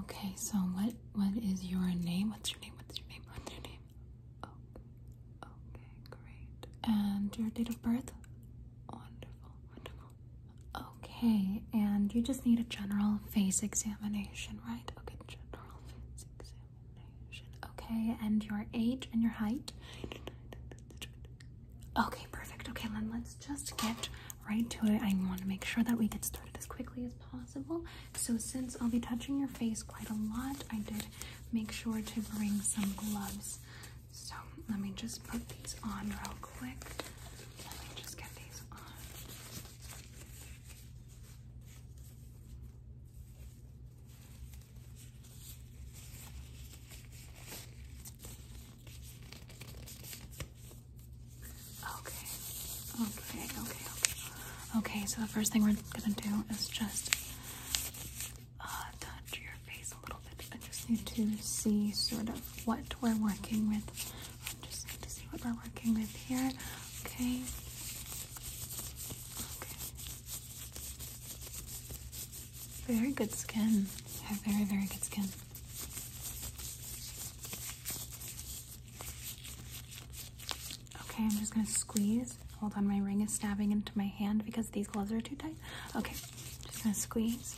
Okay, so what what is your name? What's your name? What's your name? What's your name? Oh, okay, great. And your date of birth? Wonderful, wonderful. Okay, and you just need a general face examination, right? Okay, general face examination. Okay, and your age and your height? Okay, perfect. Okay, then let's just get right to it. I want to make sure that we get started as quickly as possible. So since I'll be touching your face quite a lot, I did make sure to bring some gloves. So let me just put these on real quick. Let me just get these on. Okay. Okay, okay, okay. Okay, so the first thing we're gonna do is just uh, touch your face a little bit. I just need to see sort of what we're working with. I just need to see what we're working with here. Okay. Okay. Very good skin. have very, very good skin. Okay, I'm just gonna squeeze. Hold on, my ring is stabbing into my hand because these gloves are too tight. Okay, just gonna squeeze.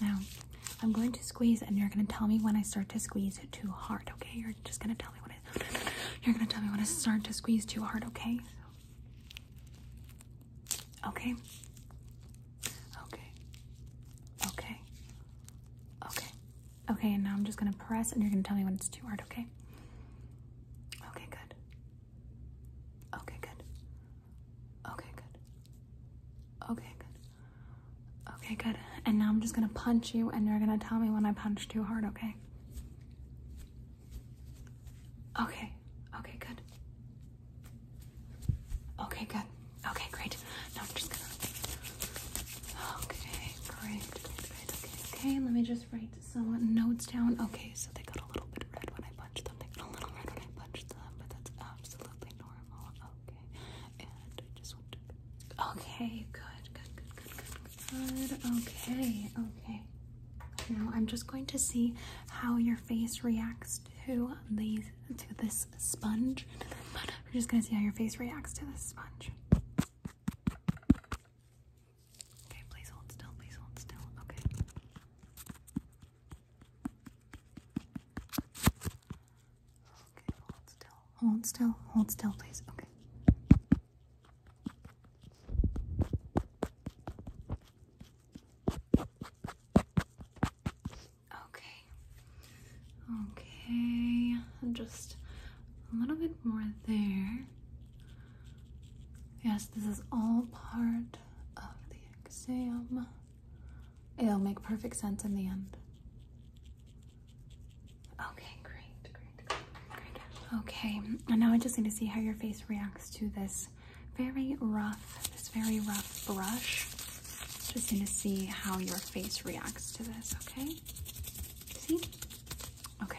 Now, I'm going to squeeze and you're gonna tell me when I start to squeeze too hard, okay? You're just gonna tell me when I, you're gonna tell me when I start to squeeze too hard, okay? Okay. Okay. Okay. Okay. Okay, and now I'm just gonna press and you're gonna tell me when it's too hard, okay? Okay, good. Okay, good. Okay, good. Okay, good. Okay, good. And now I'm just gonna punch you and you're gonna tell me when I punch too hard, okay? Okay. Okay, good. Okay, good. Okay, great. Now I'm just gonna. Okay, great. Okay, okay. Let me just write some notes down. Okay, so they got a little bit red when I punched them. They got a little red when I punched them, but that's absolutely normal. Okay, and I just want to. Okay, good, good, good, good, good, Okay. Okay. Now I'm just going to see how your face reacts to these to this sponge. We're just gonna see how your face reacts to this sponge. Okay, please hold still, please hold still. Okay. Okay, hold still. Hold still, hold still, please. Okay. Okay. Okay. Just a little bit more there. Yes, this is all part of the exam. It'll make perfect sense in the end. Okay, great, great, great, Okay, and now I just need to see how your face reacts to this very rough, this very rough brush. Just need to see how your face reacts to this, okay? See? Okay.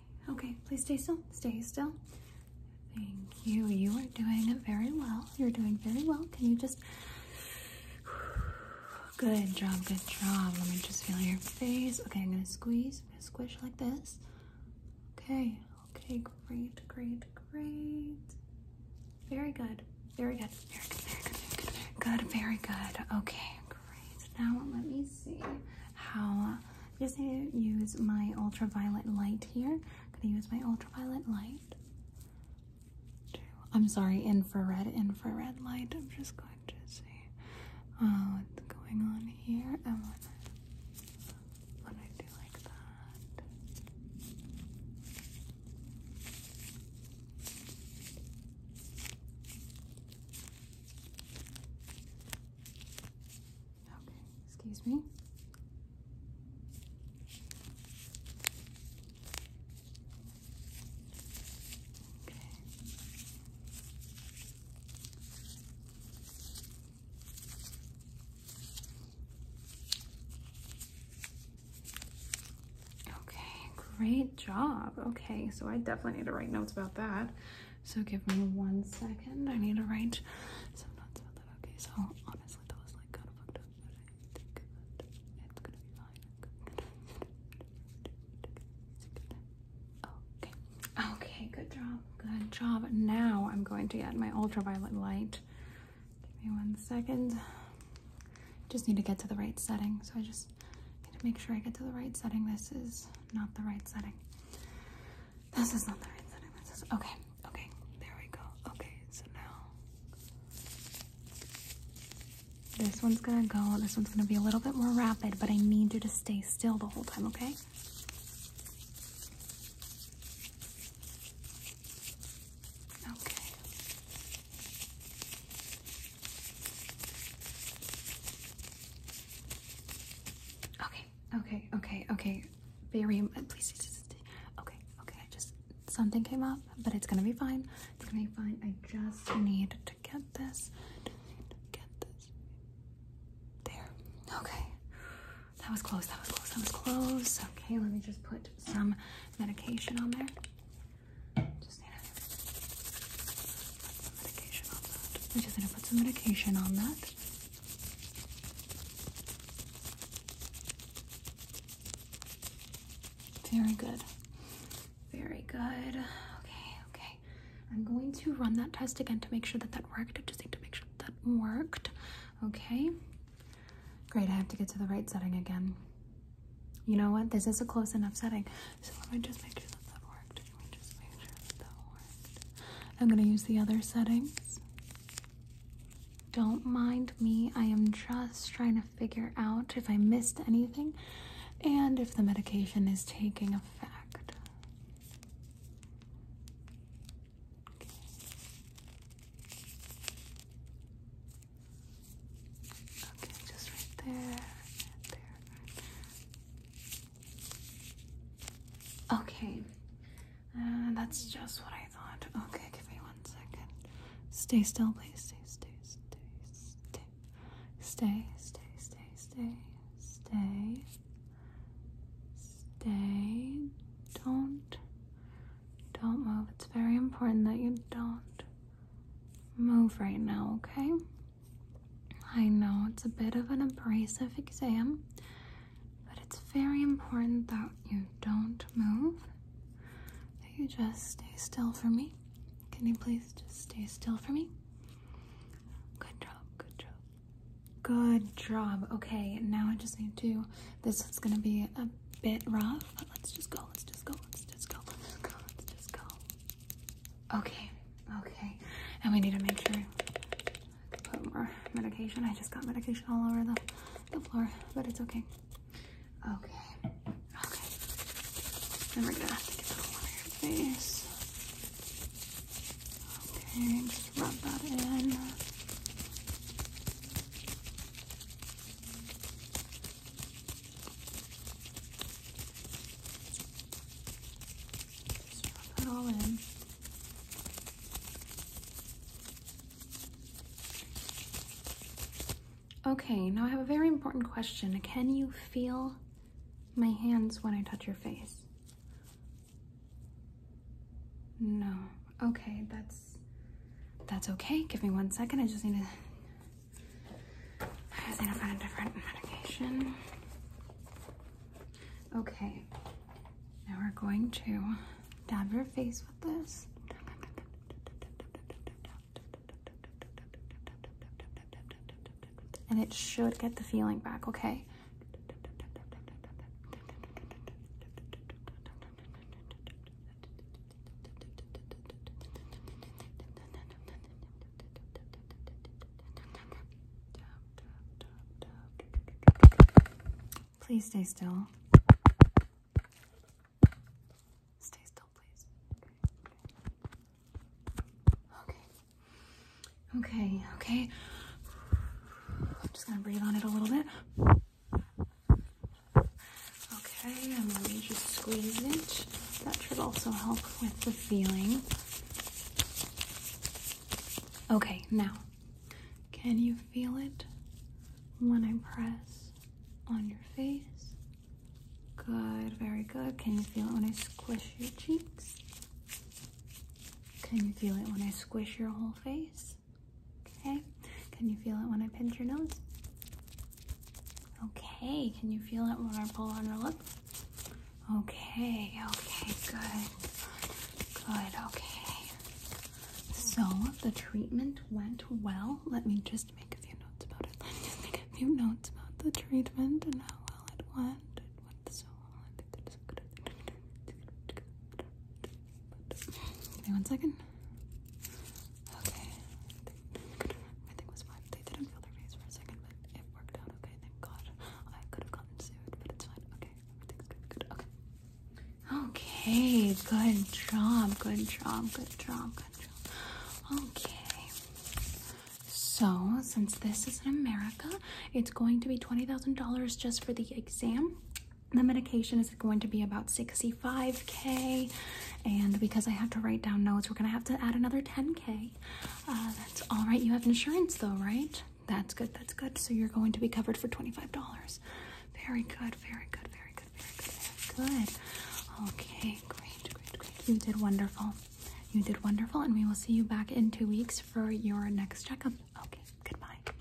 Okay, please stay still. Stay still. Thank you. You are doing very well. You're doing very well. Can you just. Good job, good job. Let me just feel your face. Okay, I'm gonna squeeze, I'm gonna squish like this. Okay, okay, great, great, great. Very good, very good, very good, very good, very good, very good, very good. Okay, great. Now let me see how I'm just going to use my ultraviolet light here. I'm going to use my ultraviolet light. I'm sorry, infrared, infrared light. I'm just going to see uh, what's going on here and when I, when I do like that. Okay, excuse me. Okay. Okay, great job. Okay, so I definitely need to write notes about that. So give me one second. I need to write some notes Okay, so honestly, that was like kind of fucked up, but I think it's gonna be fine. Okay. Okay, good job. Good job. Now I'm going to get my ultraviolet light. Give me one second. Just need to get to the right setting. So I just need to make sure I get to the right setting. This is not the right setting. This is not the right setting. This is okay. Okay, there we go. Okay, so now this one's gonna go. This one's gonna be a little bit more rapid, but I need you to stay still the whole time, okay? Okay. Okay, okay, okay, okay. Very, uh, please, okay, okay. I just, something came up, but it's gonna be fine. It's gonna be fine. I just need to get this. Get this. There. Okay. That was close, that was close, that was close. Okay, let me just put some medication on there. Just I'm just gonna put some medication on that. Very good. Very good. Okay, okay. I'm going to run that test again to make sure that that worked. I just need to make sure that, that worked. Okay. Great, I have to get to the right setting again. You know what? This is a close enough setting. So let me just make sure that that worked. I'm going to use the other settings. Don't mind me. I am just trying to figure out if I missed anything and if the medication is taking effect. Okay, just right there, right there, right there. Okay, uh, that's just what I thought. Okay, give me one second. Stay still, please. Stay, stay, stay, stay, stay, stay, stay, stay, stay, stay. Don't, don't move. It's very important that you don't move right now, okay? I know it's a bit of an abrasive exam, but it's very important that you don't move, that you just stay still for me. Can you please just stay still for me? Good job, good job. Good job. Okay, now I just need to, this is gonna be a bit rough, but let's just go, let's just go, let's just go, let's just go, let's just go. Okay, okay. And we need to make sure I put more medication. I just got medication all over the, the floor, but it's okay. Okay, okay. Then we're gonna have to get the all over your face. Okay, just rub that in. Okay, now I have a very important question. Can you feel my hands when I touch your face? No. Okay, that's that's okay. Give me one second. I just need to I just need to find a different medication. Okay, now we're going to dab your face with this. And it should get the feeling back, okay? Please stay still. Stay still, please. Okay. Okay, okay. I'm just going to breathe on it a little bit. Okay, and then you just squeeze it. That should also help with the feeling. Okay, now, can you feel it when I press on your face? Good, very good. Can you feel it when I squish your cheeks? Can you feel it when I squish your whole face? Okay, can you feel it when I pinch your nose? Okay, can you feel it when I pull on your lip? Okay, okay, good, good, okay. So the treatment went well. Let me just make a few notes about it. Let me just make a few notes about the treatment and how well it went. It went so well. Give me one second. Okay. Everything was fine. They didn't feel their face for a second, but it worked out okay. Thank God. I could have gotten sued, but it's fine. Okay. Everything's good. Good. Okay. Okay. Good job. Good job. Good job. Good job. Okay. So, since this is in America, it's going to be $20,000 just for the exam the medication is going to be about 65k and because i have to write down notes we're gonna have to add another 10k uh, that's all right you have insurance though right that's good that's good so you're going to be covered for $25 very good very good very good very good good okay great great great you did wonderful you did wonderful and we will see you back in two weeks for your next checkup okay goodbye